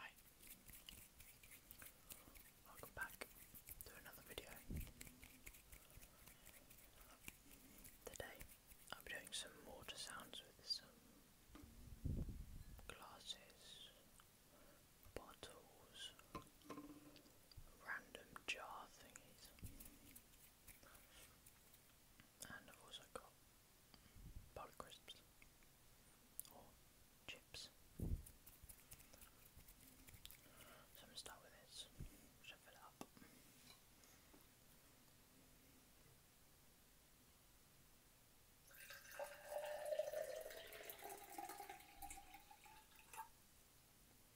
Hi, welcome back to another video. Today I'll doing some water sounds with some glasses, bottles, random jar thingies. And I've also got powder crisps or chips. So I'm going to start with this, shove it up.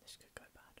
This could go bad.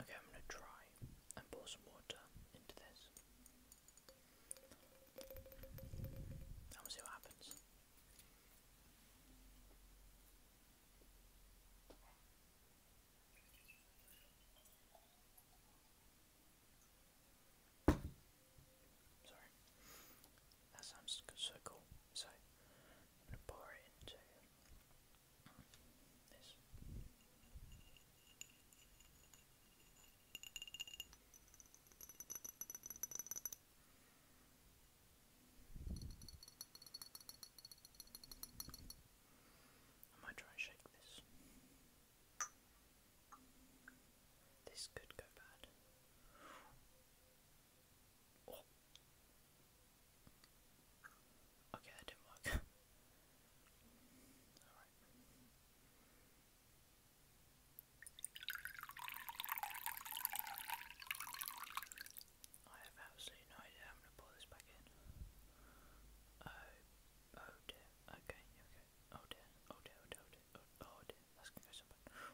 Okay, I'm going to try and pour some water into this. And we see what happens. Sorry. That sounds so cool. So, going to pour it into this. I might try and shake this. This could go bad. Oh. Okay, that didn't work. Alright. I have absolutely no idea. I'm going to pull this back in. Oh, oh dear. Okay, here Oh dear, oh dear, oh dear, oh dear, oh dear. Oh dear. go somewhere.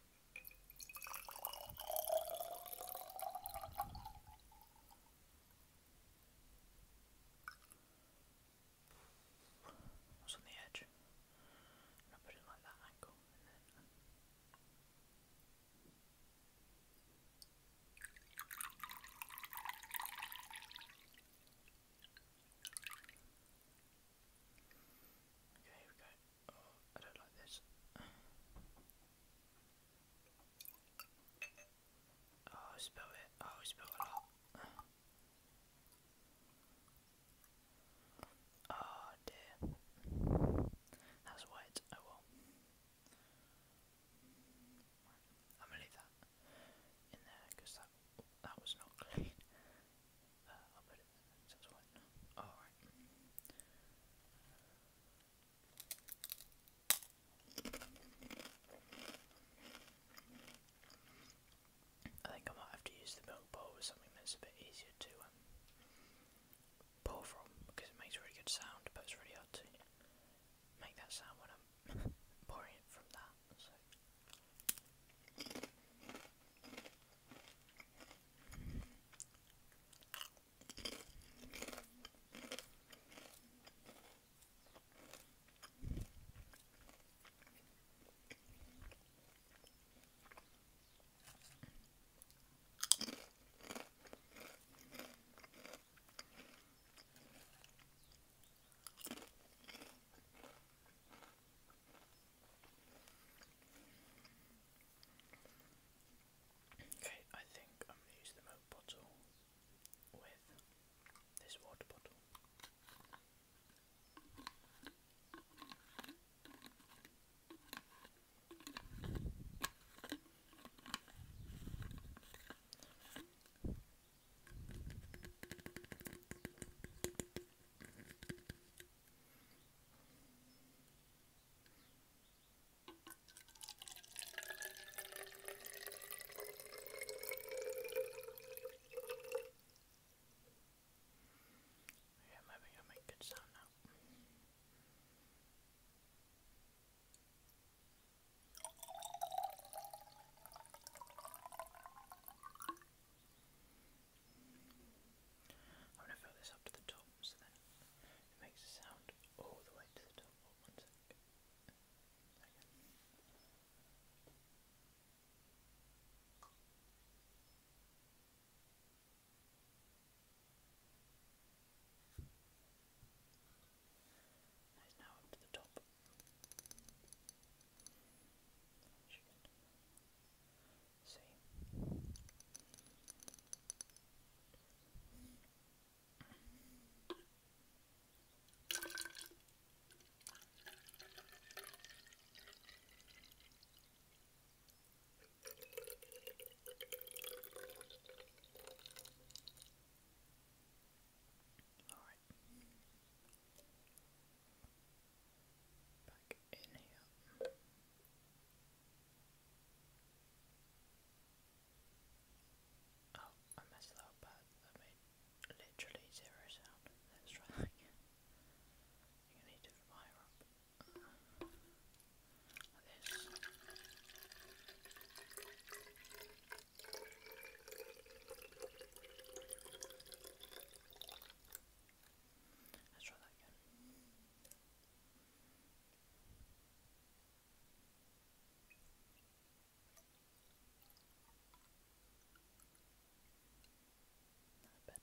What's on the edge? And I put it like that angle and then. Okay, here we go. Oh, I don't like this. Oh, I spilled it. Oh, I spilled a Oh dear. That's wet. Oh well. I'm gonna leave that in there because that that was not clean. Uh, I'll put it in there so Alright. I think I might have to use the milk bowl with something that's a bit easier to um, pour from because it makes really good sound, but it's really hard to make that sound when I'm pouring it from that. Okay, I think I'm going to use the milk bottle with this water bottle. Yeah, maybe you'll make good sound now. I'm going to fill this up to the top so then it makes a sound all the way to the top. Oh, one sec. Okay. That's now up to the top. You can see. Alright. Back in Oh, I messed that up bad. made literally zero sound. Let's try again. i need to fire up. Let's try that again. better.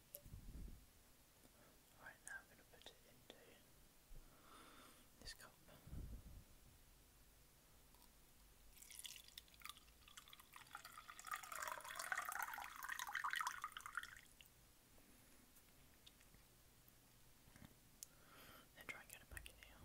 Alright, now I'm going to put it into this cup. Then try and get it back in here.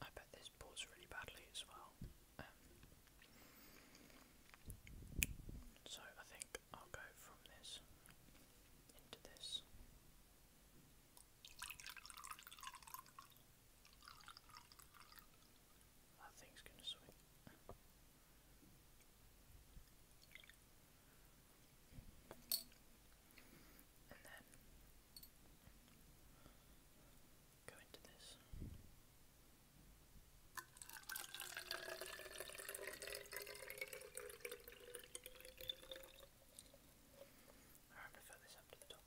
I bet this pours really badly as well. Um, so I think I'll go from this into this. That thing's gonna swing. And then go into this. I'm going to fill this up to the top.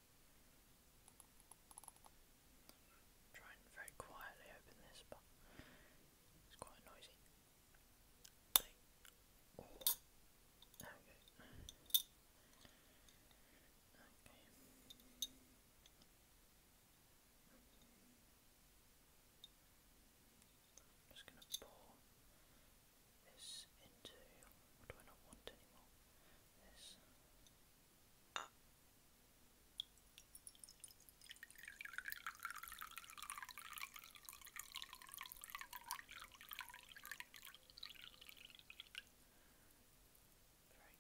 I'm trying very quietly open this, but it's quite noisy. Think. Okay. I'm just going to pour this into what do I not want anymore? this. Uh.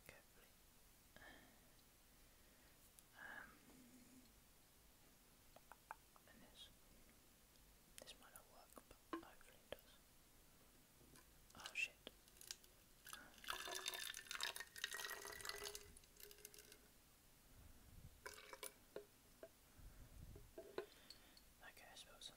Very carefully. and this. This might not work, but hopefully it does. Oh shit. Okay, I spilled some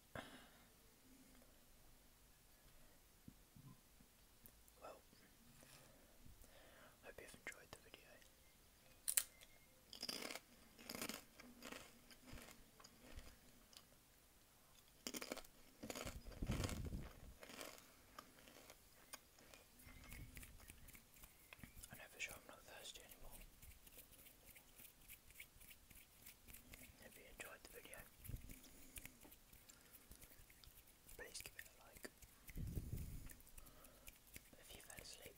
Well, hope you've enjoyed the video. I know for sure I'm not thirsty anymore. If you enjoyed the video, please give it a like. If you fell asleep,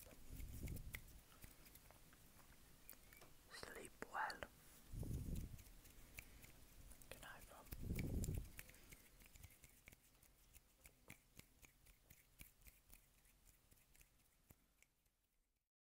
sleep well. Good night, Rob.